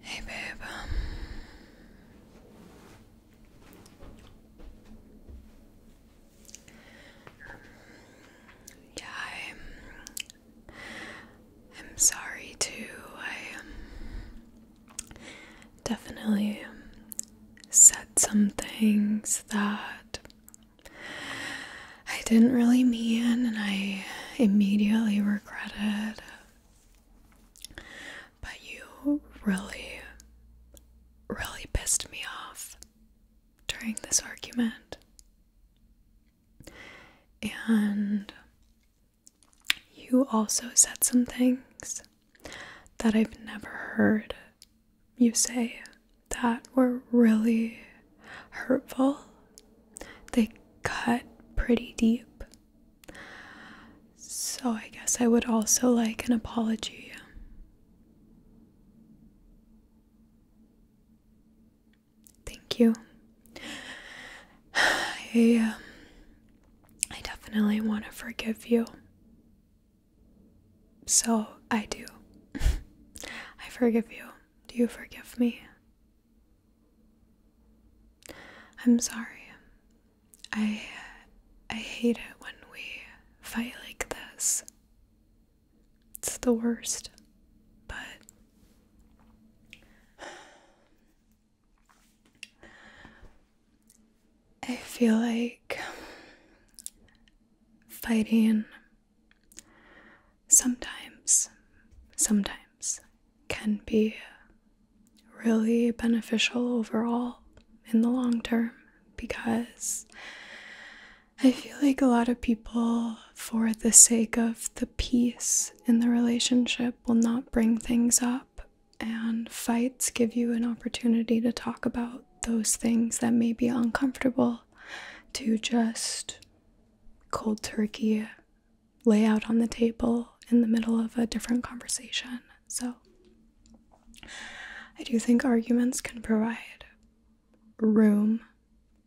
Hey, babe. Um, yeah, I'm. I'm sorry too. I um, definitely said some things that I didn't really mean, and I immediately regretted. But you really, really pissed me off during this argument. And you also said some things that I've never heard you say that were really hurtful. They cut pretty deep. So I guess I would also like an apology. Thank you. I, um, I definitely want to forgive you. So I do. I forgive you. Do you forgive me? I'm sorry. I I hate it when we fight like this. It's the worst. But I feel like fighting sometimes, sometimes can be really beneficial overall in the long term because I feel like a lot of people, for the sake of the peace in the relationship, will not bring things up. And fights give you an opportunity to talk about those things that may be uncomfortable, to just cold turkey lay out on the table in the middle of a different conversation. So I do think arguments can provide room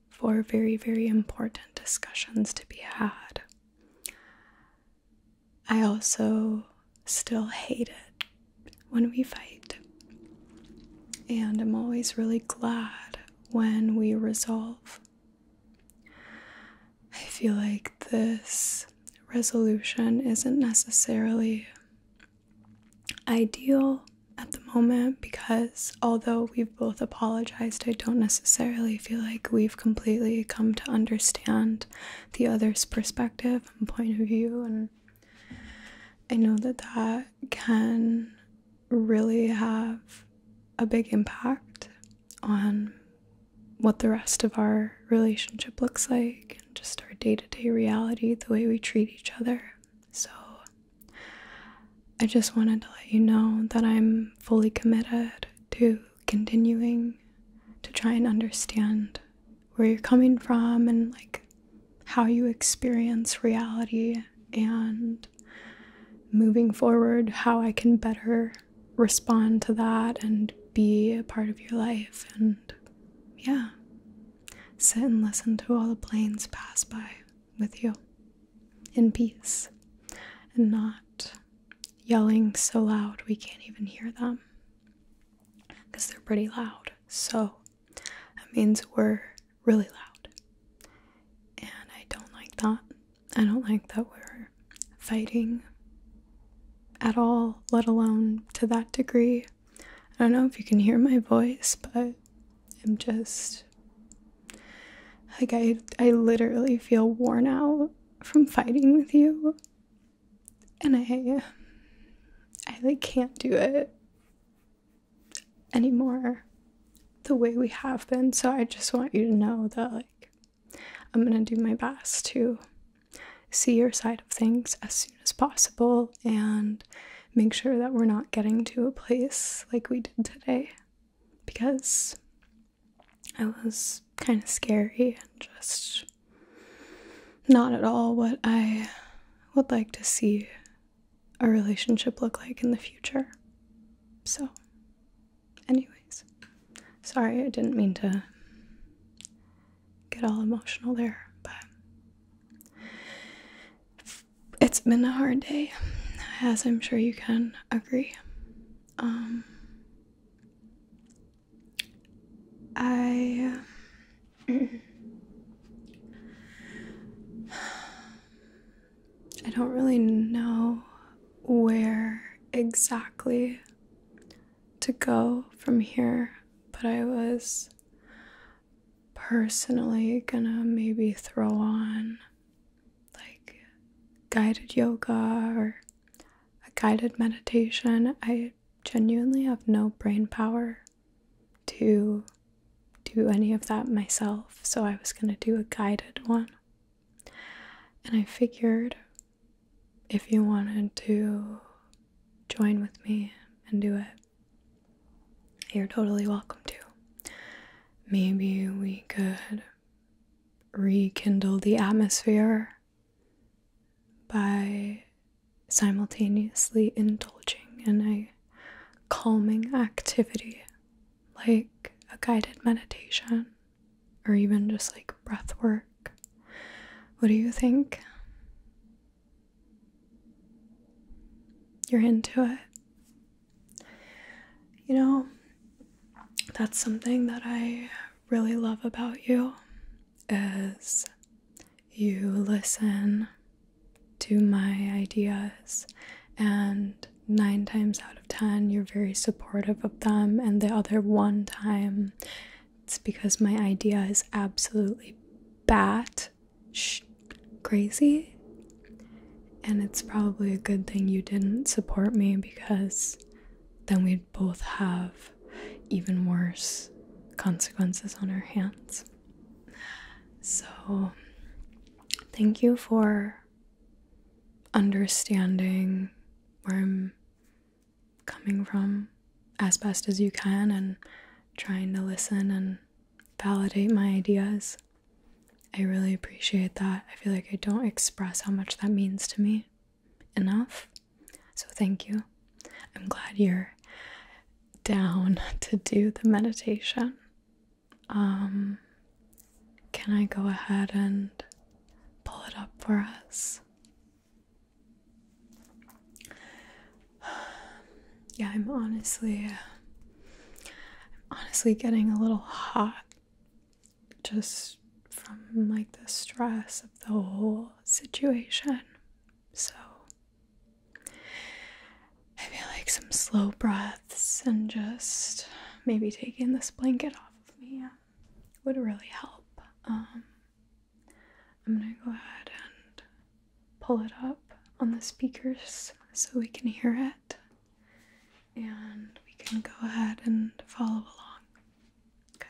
for very, very important discussions to be had. I also still hate it when we fight. And I'm always really glad when we resolve. I feel like this resolution isn't necessarily ideal at the moment because although we've both apologized, I don't necessarily feel like we've completely come to understand the other's perspective and point of view. And I know that that can really have a big impact on what the rest of our relationship looks like and just our day to day reality, the way we treat each other. So, I just wanted to let you know that I'm fully committed to continuing to try and understand where you're coming from and like how you experience reality and moving forward, how I can better respond to that and be a part of your life. And yeah, sit and listen to all the planes pass by with you in peace and not yelling so loud we can't even hear them because they're pretty loud. So that means we're really loud. And I don't like that. I don't like that we're fighting at all, let alone to that degree. I don't know if you can hear my voice, but I'm just like I I literally feel worn out from fighting with you. And I I like can't do it anymore the way we have been. So I just want you to know that, like, I'm gonna do my best to see your side of things as soon as possible and make sure that we're not getting to a place like we did today because I was kind of scary and just not at all what I would like to see our relationship look like in the future. So, anyways, sorry I didn't mean to get all emotional there, but it's been a hard day, as I'm sure you can agree. Um, I. I don't really know where exactly to go from here, but I was personally gonna maybe throw on like guided yoga or a guided meditation. I genuinely have no brain power to do any of that myself, so I was going to do a guided one. And I figured if you wanted to join with me and do it, you're totally welcome to. Maybe we could rekindle the atmosphere by simultaneously indulging and I calming activity like a guided meditation or even just like breath work. What do you think? You're into it. You know, that's something that I really love about you is you listen to my ideas, and nine times out of ten, you're very supportive of them, and the other one time, it's because my idea is absolutely bat sh crazy. And it's probably a good thing you didn't support me because then we'd both have even worse consequences on our hands. So, thank you for understanding where I'm coming from as best as you can and trying to listen and validate my ideas. I really appreciate that. I feel like I don't express how much that means to me enough. So, thank you. I'm glad you're down to do the meditation. Um, can I go ahead and pull it up for us? Yeah, I'm honestly, honestly getting a little hot just from like the stress of the whole situation. So, I feel like some slow breaths and just maybe taking this blanket off of me would really help. Um, I'm gonna go ahead and pull it up on the speakers so we can hear it and we can go ahead and follow along. Okay.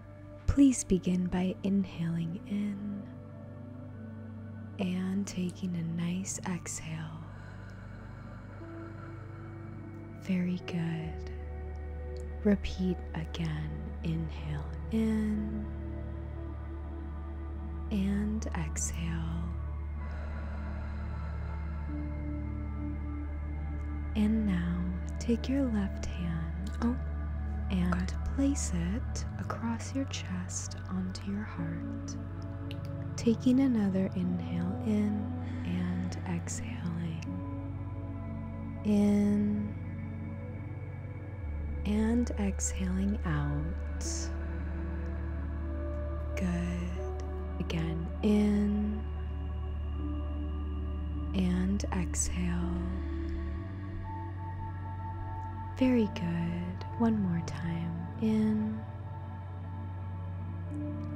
Please begin by inhaling in and taking a nice exhale. Very good. Repeat again. Inhale in and exhale. And now take your left hand. Oh, and place it across your chest onto your heart. Taking another inhale in and exhaling. In and exhaling out. Good. Again, in and exhale. Very good. One more time. In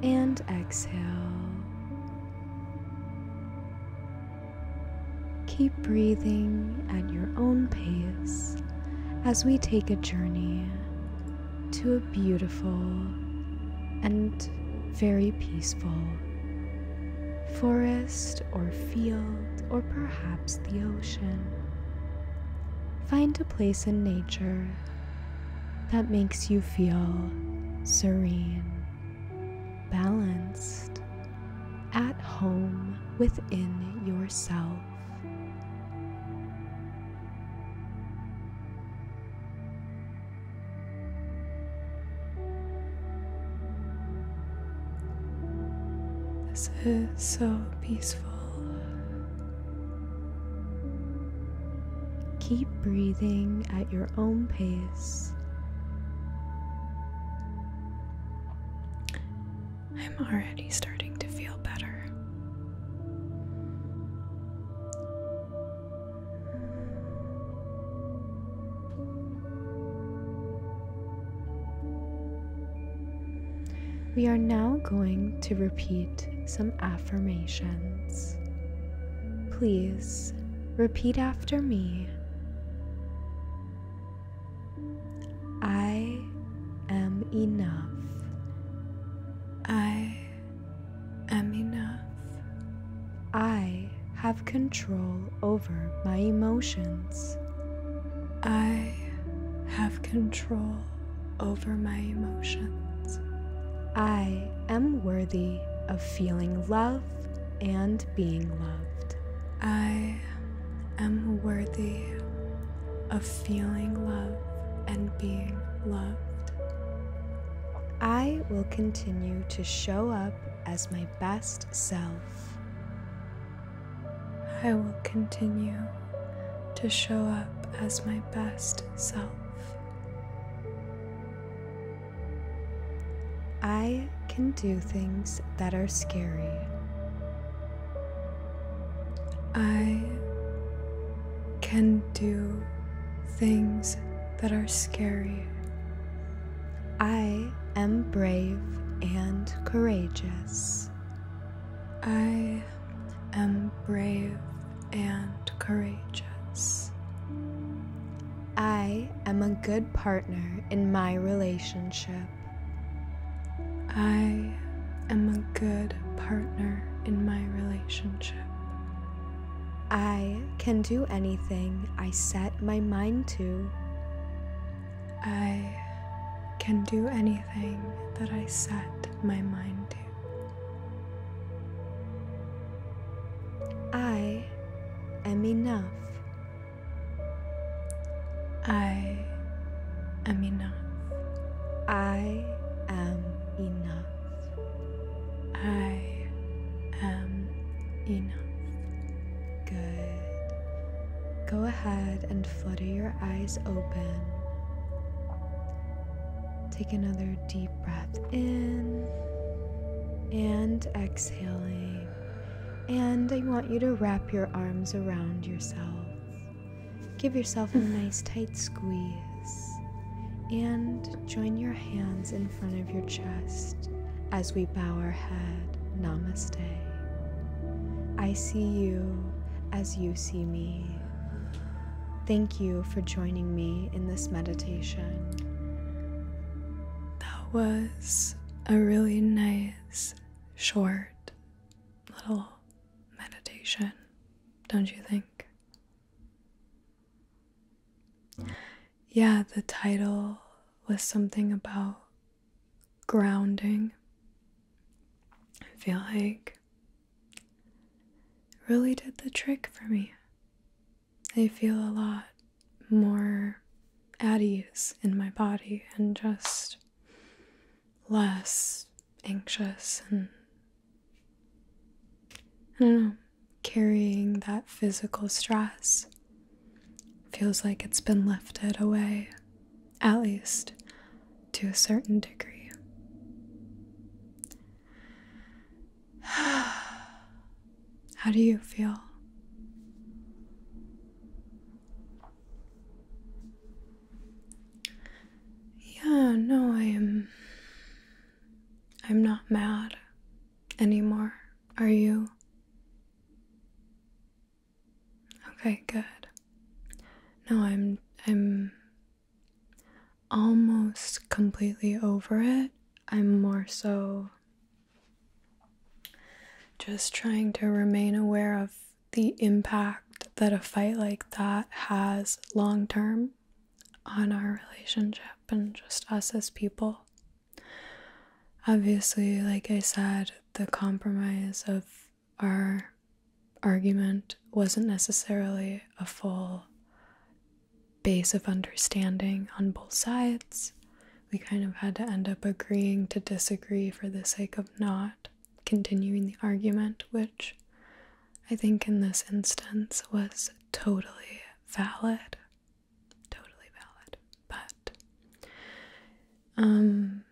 and exhale. Keep breathing at your own pace as we take a journey to a beautiful and very peaceful forest or field, or perhaps the ocean. Find a place in nature that makes you feel serene, balanced, at home within yourself. This is so peaceful. Keep breathing at your own pace. I'm already starting to feel better. We are now going to repeat some affirmations. Please repeat after me. I am enough. I I am enough. I have control over my emotions. I have control over my emotions. I am worthy of feeling love and being loved. I am worthy of feeling love and being loved. I will continue to show up as my best self. I will continue to show up as my best self. I can do things that are scary. I can do things that are scary. I am brave and courageous. I am brave and courageous. I am a good partner in my relationship. I am a good partner in my relationship. I can do anything I set my mind to. I can do anything that I set my mind to. I am enough. I am enough. I am enough. I am enough. Good. Go ahead and flutter your eyes open. Take another deep breath in and exhaling. And I want you to wrap your arms around yourself. Give yourself a nice tight squeeze and join your hands in front of your chest as we bow our head. Namaste. I see you as you see me. Thank you for joining me in this meditation. That was a really nice, short little meditation, don't you think? yeah, the title was something about grounding. I feel like it really did the trick for me. I feel a lot more at ease in my body and just less anxious and I don't know carrying that physical stress. Feels like it's been lifted away, at least to a certain degree. How do you feel? Yeah, no, I am. I'm not mad anymore, are you? Okay, good. No, I'm I'm almost completely over it. I'm more so just trying to remain aware of the impact that a fight like that has long term on our relationship and just us as people. Obviously, like I said, the compromise of our argument wasn't necessarily a full base of understanding on both sides. We kind of had to end up agreeing to disagree for the sake of not continuing the argument, which I think in this instance was totally valid, totally valid. But, um,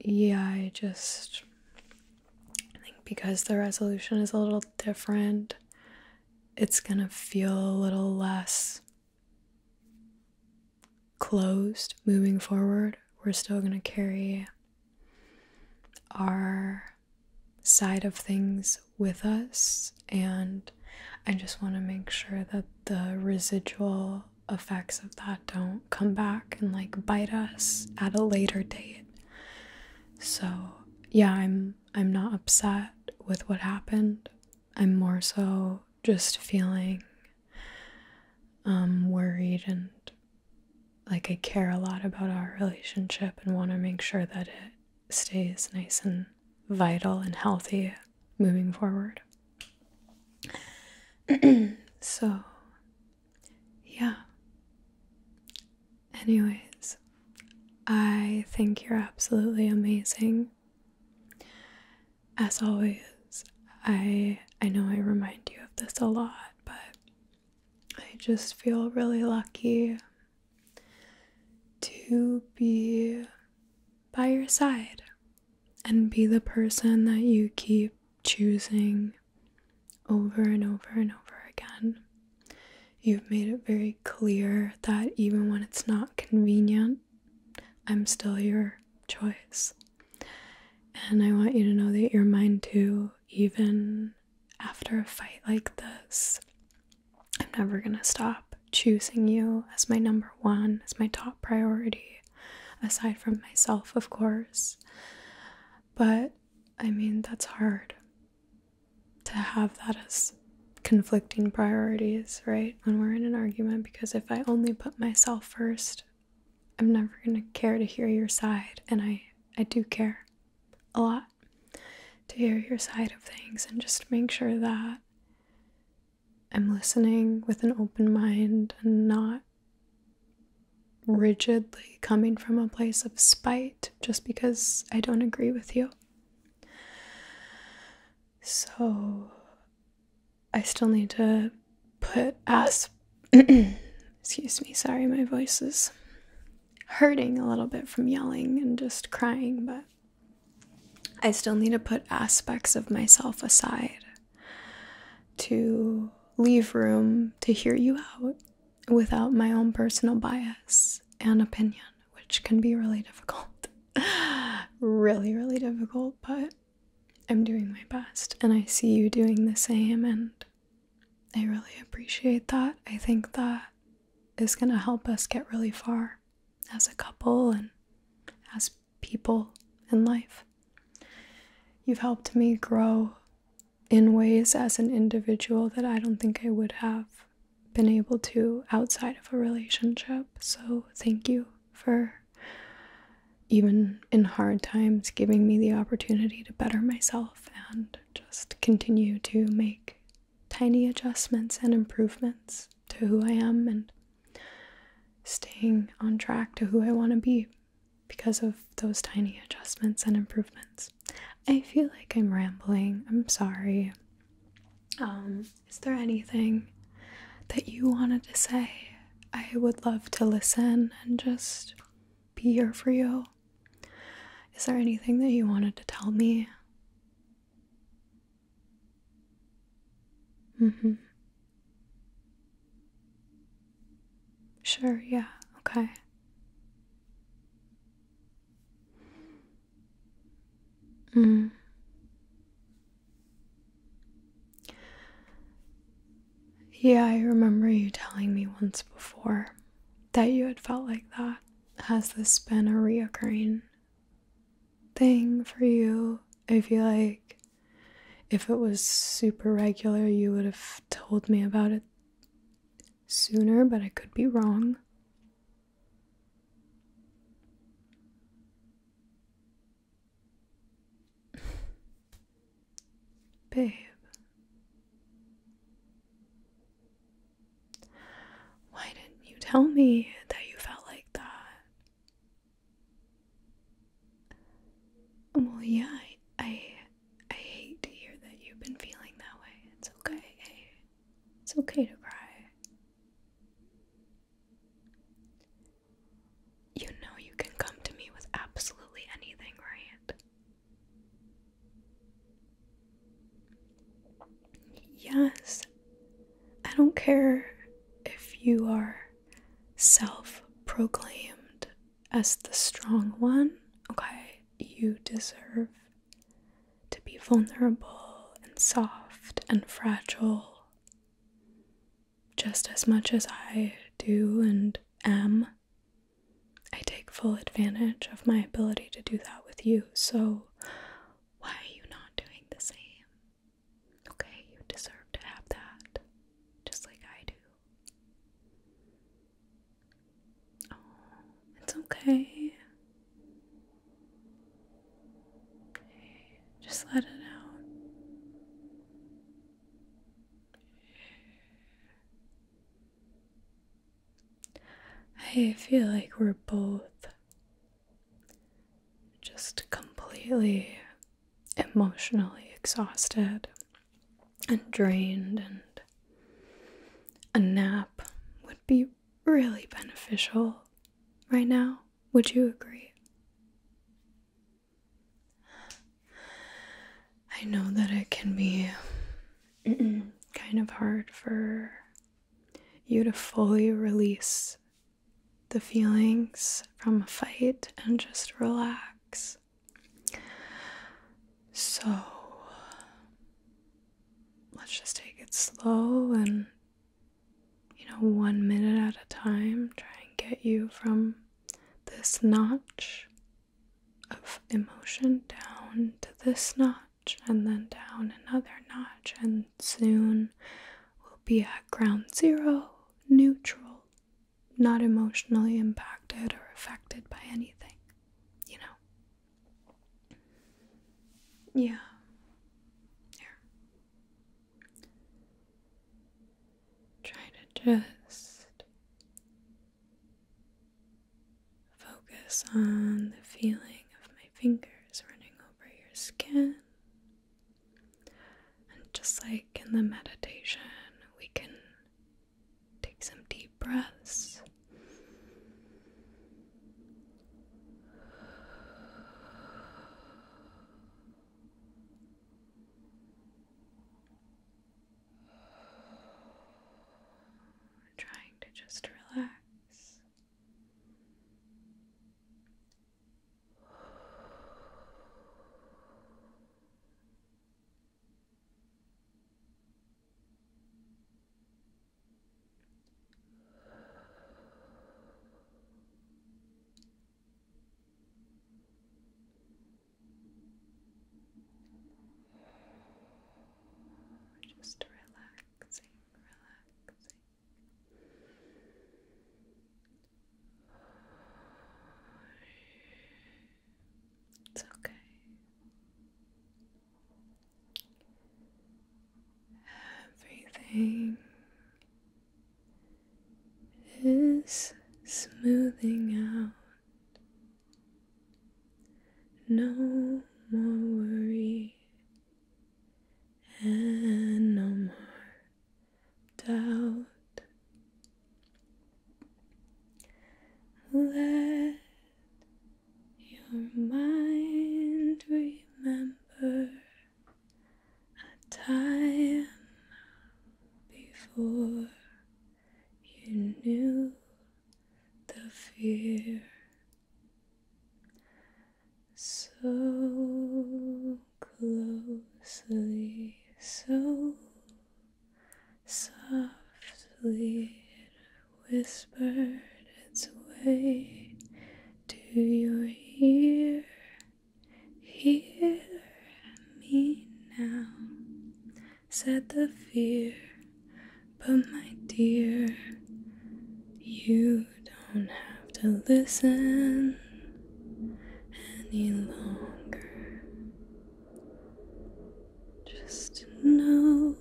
yeah, I just I think because the resolution is a little different, it's gonna feel a little less closed moving forward. We're still gonna carry our side of things with us and I just want to make sure that the residual effects of that don't come back and like bite us at a later date. So, yeah, I'm I'm not upset with what happened. I'm more so just feeling um worried and like I care a lot about our relationship and want to make sure that it stays nice and vital and healthy moving forward. so, yeah. Anyways, I think you're absolutely amazing. As always, I I know I remind you of this a lot, but I just feel really lucky to be by your side and be the person that you keep choosing over and over and over again. You've made it very clear that even when it's not convenient, I'm still your choice. And I want you to know that you're mine too, even after a fight like this, I'm never going to stop choosing you as my number one, as my top priority, aside from myself, of course. But I mean, that's hard to have that as conflicting priorities, right? When we're in an argument, because if I only put myself first, I'm never going to care to hear your side, and I I do care a lot to hear your side of things and just make sure that I'm listening with an open mind and not rigidly coming from a place of spite just because I don't agree with you. So I still need to put as excuse me, sorry, my voice is hurting a little bit from yelling and just crying, but I still need to put aspects of myself aside to leave room to hear you out without my own personal bias and opinion, which can be really difficult. really, really difficult, but I'm doing my best and I see you doing the same and I really appreciate that. I think that is going to help us get really far as a couple and as people in life. You've helped me grow in ways as an individual that I don't think I would have been able to outside of a relationship. So, thank you for even in hard times giving me the opportunity to better myself and just continue to make tiny adjustments and improvements to who I am and staying on track to who I want to be because of those tiny adjustments and improvements. I feel like I'm rambling. I'm sorry. Um, is there anything that you wanted to say? I would love to listen and just be here for you. Is there anything that you wanted to tell me? Mm-hmm. Sure, yeah, okay. Mm. Yeah, I remember you telling me once before that you had felt like that has this been a reoccurring thing for you? I feel like if it was super regular, you would have told me about it sooner, but I could be wrong. Babe, why didn't you tell me that you felt like that? Well, yeah, I, I, hate to hear that you've been feeling that way. It's okay. It's okay to cry. You know you can come to me with absolutely anything, right? Yes, I don't care if you are self proclaimed as the strong one, okay? You deserve to be vulnerable and soft and fragile just as much as I do and am I take full advantage of my ability to do that with you, so why are you not doing the same? Okay, you deserve to have that, just like I do. Oh, it's okay. just let it out. I feel like we're both just completely emotionally exhausted and drained, and a nap would be really beneficial right now. Would you agree? I know that it can be kind of hard for you to fully release the feelings from a fight and just relax. So let's just take it slow and, you know, one minute at a time, try and get you from this notch of emotion down to this knot and then down another notch, and soon we'll be at ground zero, neutral, not emotionally impacted or affected by anything, you know? Yeah. Here. Try to just Focus on the feeling of my fingers running over your skin. And just like in the meditation, we can take some deep breaths. Trying to just relax just relaxing, relaxing. It's okay. Everything is smoothing out. No more worry and no more doubt. Let your mind remember a time before you knew the fear so closely, so softly whispered its way to your ear. Hear me now said the fear, but my dear, you don't have to listen any longer. Just know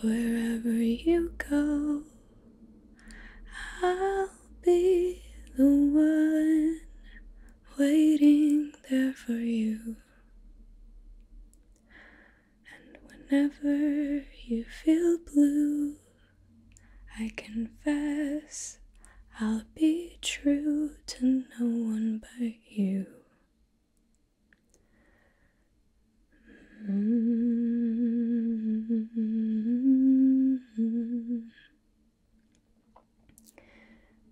wherever you go, I'll be the one waiting there for you. And whenever you feel blue, I confess I'll be true to no one but you.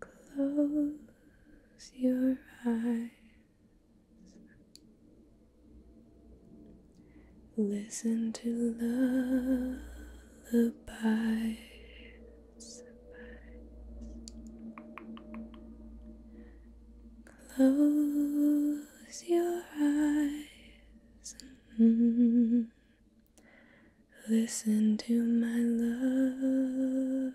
Close your eyes. Listen to lullabies. Close your eyes. Mm-hmm. Listen to my love.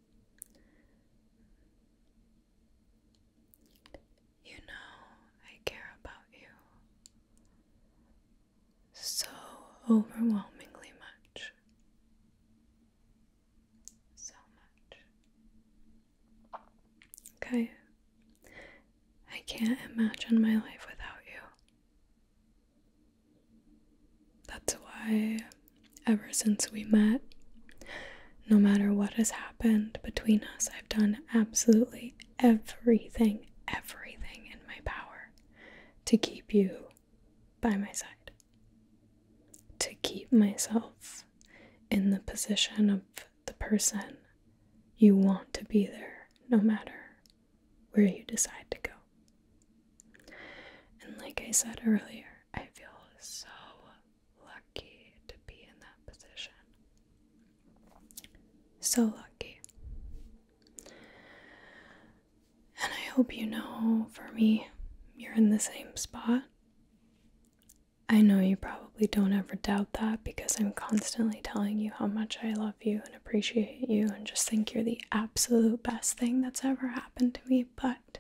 You know I care about you so overwhelmingly much. So much. Okay. I can't imagine my life without you. That's why, ever since we met, no matter what has happened between us, I've done absolutely everything, everything in my power to keep you by my side. To keep myself in the position of the person you want to be there, no matter where you decide to go. And like I said earlier, I feel so lucky to be in that position. So lucky. And I hope you know for me, you're in the same spot. I know you probably don't ever doubt that because I'm constantly telling you how much I love you and appreciate you and just think you're the absolute best thing that's ever happened to me, but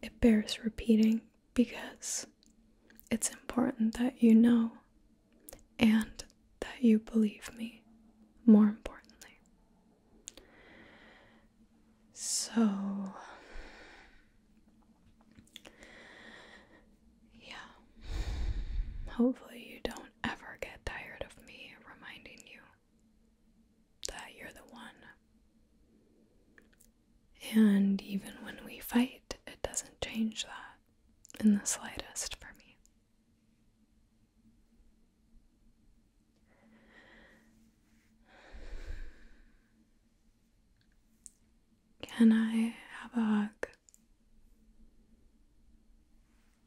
it bears repeating because it's important that you know and that you believe me, more importantly. So, yeah, hopefully you don't ever get tired of me reminding you that you're the one. And even when we fight, it doesn't change that in the slightest for me. Can I have a hug?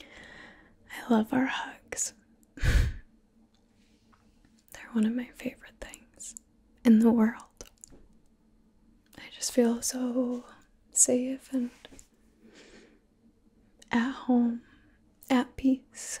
I love our hugs. They're one of my favorite things in the world. I just feel so safe and at home, at peace.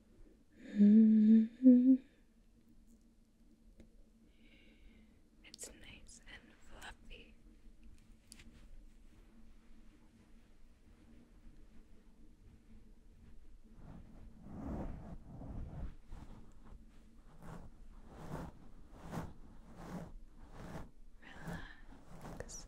Mm It's nice and fluffy. Relax.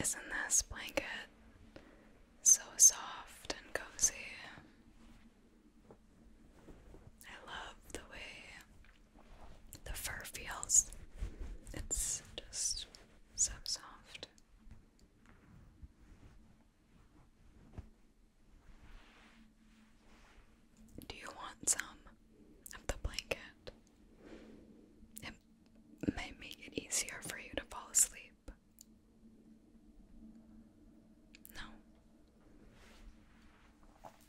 Isn't this blanket so soft and cozy? I love the way the fur feels. It's just so soft. Do you want some of the blanket? may make it easier for you to fall asleep. No.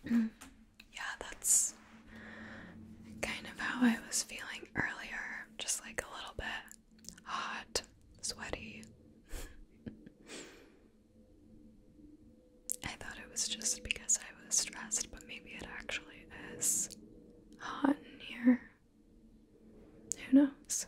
yeah, that's kind of how I was feeling earlier, just like a little bit hot, sweaty. I thought it was just because I was stressed, but maybe it actually is hot in here. Who knows?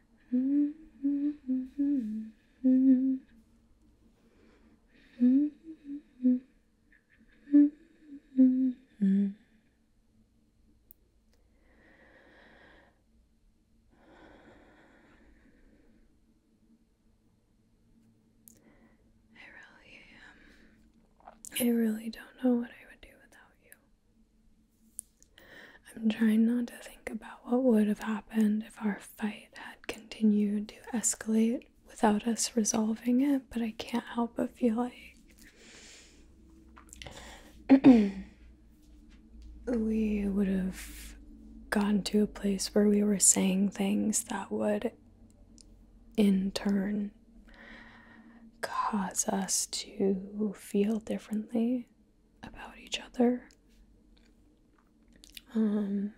I really am. I really don't know what I would do without you. I'm trying not to think about what would have happened if our fight had continued to escalate without us resolving it, but I can't help but feel like we would have gone to a place where we were saying things that would, in turn, cause us to feel differently about each other. Um,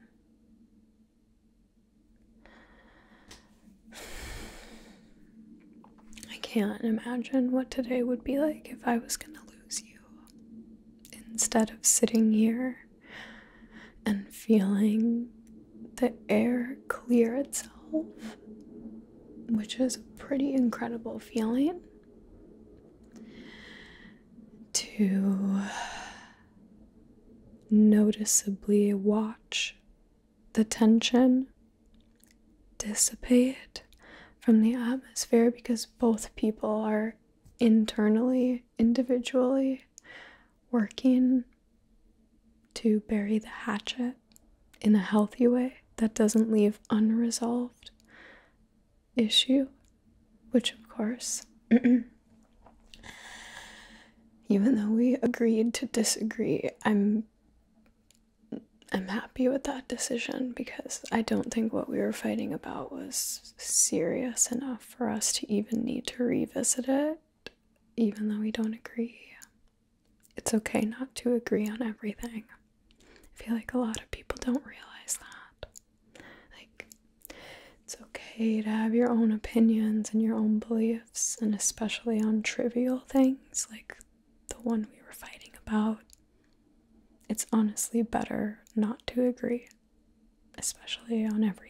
I can't imagine what today would be like if I was going to lose you. Instead of sitting here and feeling the air clear itself, which is a pretty incredible feeling to noticeably watch the tension dissipate from the atmosphere because both people are internally, individually working to bury the hatchet in a healthy way that doesn't leave unresolved issue, which of course, even though we agreed to disagree, I'm I'm happy with that decision because I don't think what we were fighting about was serious enough for us to even need to revisit it, even though we don't agree. It's okay not to agree on everything. I feel like a lot of people don't realize that. Like, it's okay to have your own opinions and your own beliefs, and especially on trivial things like the one we were fighting about. It's honestly better not to agree, especially on everything.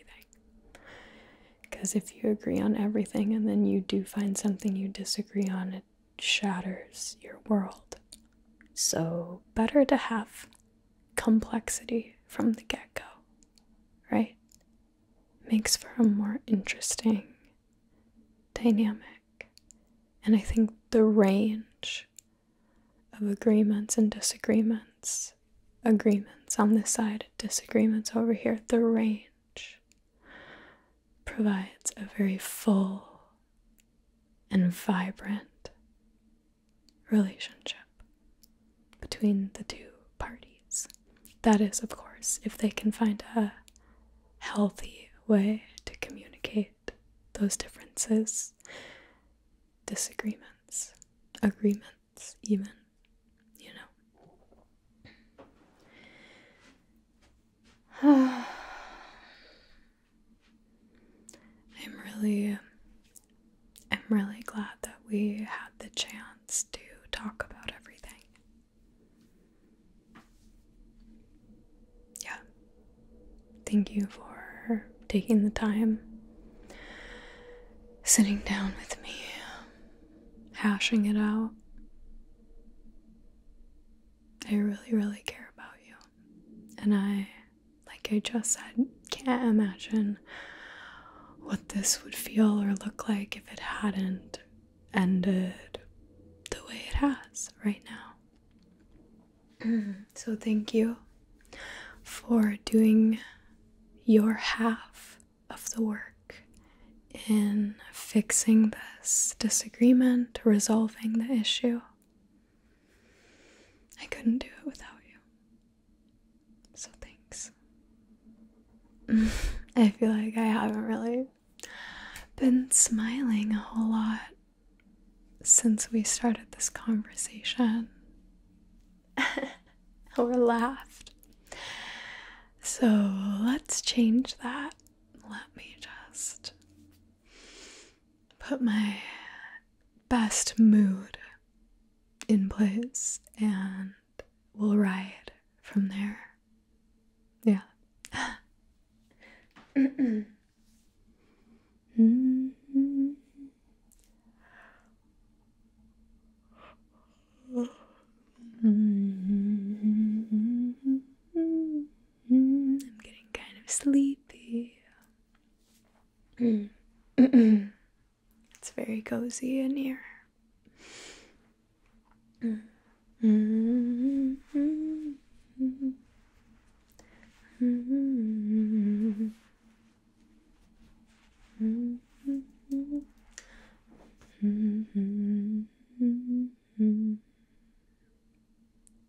Because if you agree on everything and then you do find something you disagree on, it shatters your world. So, better to have complexity from the get go, right? Makes for a more interesting dynamic. And I think the range of agreements and disagreements, agreements on this side, disagreements over here, the range provides a very full and vibrant relationship between the two parties. That is, of course, if they can find a healthy way to communicate those differences, disagreements, agreements, even, you know. I'm really I'm really glad that we had the chance to talk about everything. Yeah. Thank you for taking the time sitting down with me hashing it out. I really, really care about you. And I, like I just said, can't imagine what this would feel or look like if it hadn't ended the way it has right now. so, thank you for doing your half of the work in fixing this disagreement, resolving the issue. I couldn't do it without you. So thanks. I feel like I haven't really been smiling a whole lot since we started this conversation or laughed. So let's change that. Let me just put my best mood in place and we'll ride from there. Yeah. Mm-hmm. Mm-hmm. Mm-hmm. Mm, I'm getting kind of sleepy. Mm. it's very cozy in here.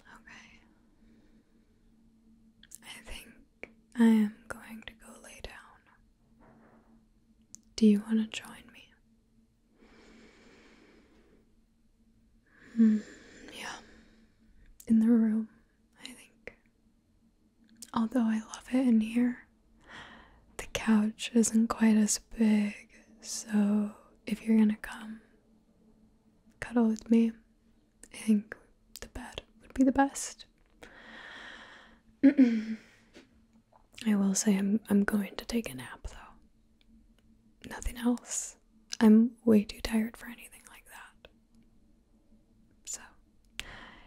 Okay. I think I am going to go lay down. Do you want to join me? Mm, yeah. In the room, I think. Although I love it in here, the couch isn't quite as big, so if you're gonna come cuddle with me, I think the bed would be the best. I will say I'm I'm going to take a nap though. Nothing else. I'm way too tired for anything like that. So,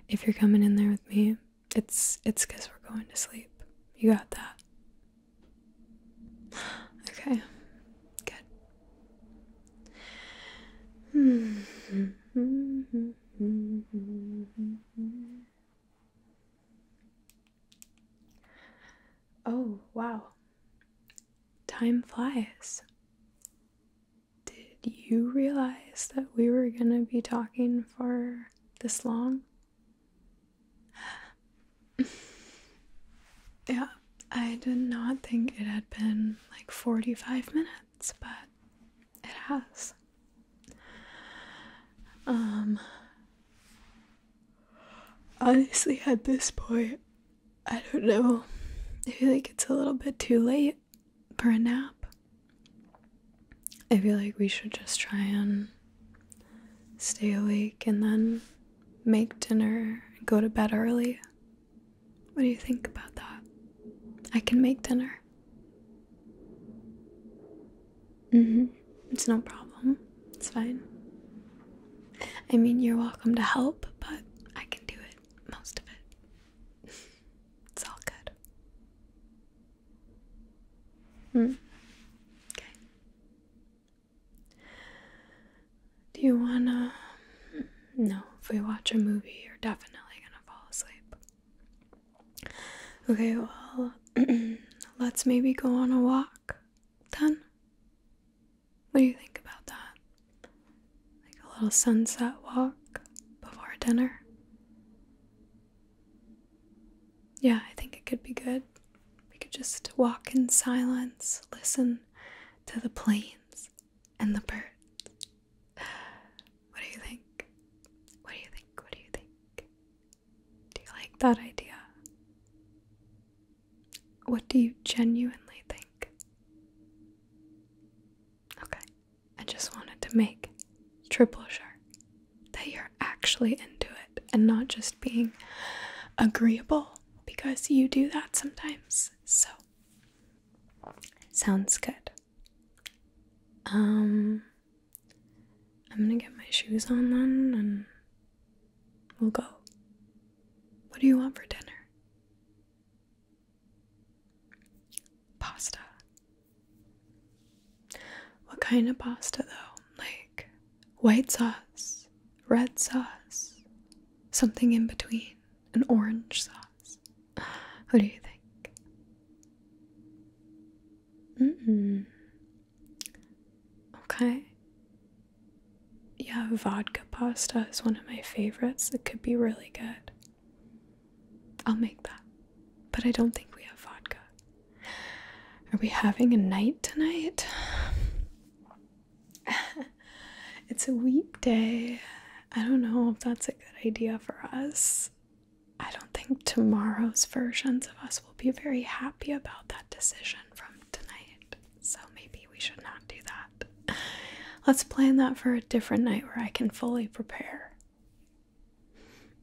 if you're coming in there with me, it's it's because we're going to sleep. You got that? Okay, good. Oh, wow. Time flies. Did you realize that we were gonna be talking for this long? yeah, I did not think it had been like 45 minutes, but it has. Um, honestly, at this point, I don't know. I feel like it's a little bit too late for a nap. I feel like we should just try and stay awake and then make dinner and go to bed early. What do you think about that? I can make dinner. Mm-hmm. It's no problem. It's fine. I mean, you're welcome to help, but I can do it most of it. it's all good. Hmm. Okay. Do you wanna? Hmm, no, if we watch a movie, you're definitely gonna fall asleep. Okay, well, let's maybe go on a walk then. What do you think about that? Like a little sunset walk before dinner. Yeah, I think it could be good. We could just walk in silence, listen to the planes and the birds. What do you think? What do you think? What do you think? Do you like that idea? What do you genuinely think? Okay, I just wanted to make triple sure that you're actually into it and not just being agreeable because you do that sometimes. So, sounds good. Um, I'm gonna get my shoes on then and we'll go. What do you want for dinner? Pasta. What kind of pasta though? Like white sauce, red sauce, something in between, an orange sauce. What do you think? Mm -mm. Okay. Yeah, vodka pasta is one of my favorites. It could be really good. I'll make that. But I don't think we have vodka. Are we having a night tonight? it's a weekday. I don't know if that's a good idea for us. I don't think tomorrow's versions of us will be very happy about that decision from tonight. So maybe we should not do that. Let's plan that for a different night where I can fully prepare.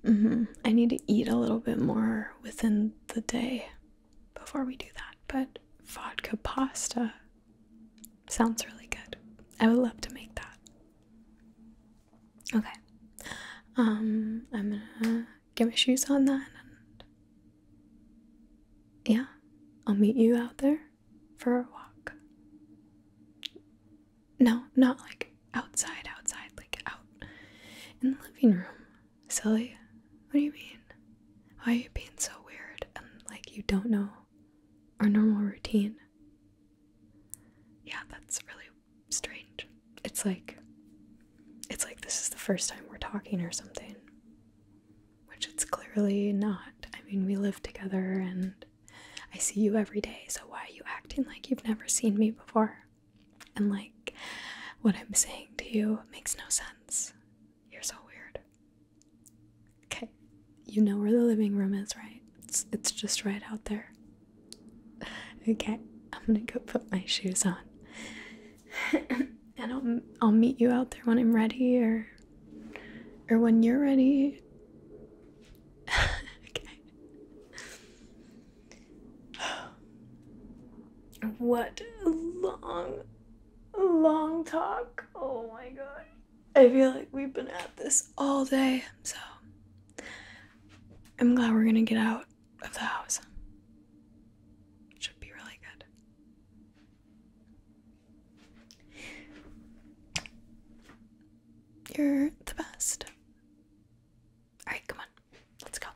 Mm-hmm. I need to eat a little bit more within the day before we do that, but vodka pasta sounds really good. I would love to make that. Okay. Um, I'm gonna get my shoes on then yeah, I'll meet you out there for a walk. No, not like outside, outside, like out in the living room. Silly. What do you mean? Why are you being so weird and like you don't know our normal routine? Yeah, that's really strange. It's like it's like this is the first time we're talking or something which it's clearly not. I mean, we live together and I see you every day, so why are you acting like you've never seen me before? And like, what I'm saying to you makes no sense. You're so weird. Okay, you know where the living room is, right? It's, it's just right out there. Okay, I'm gonna go put my shoes on. and I'll, I'll meet you out there when I'm ready or or when you're ready. okay. What a long, long talk. Oh my god. I feel like we've been at this all day, so I'm glad we're gonna get out of the house. should be really good. You're the best. Alright, come on. Let's go.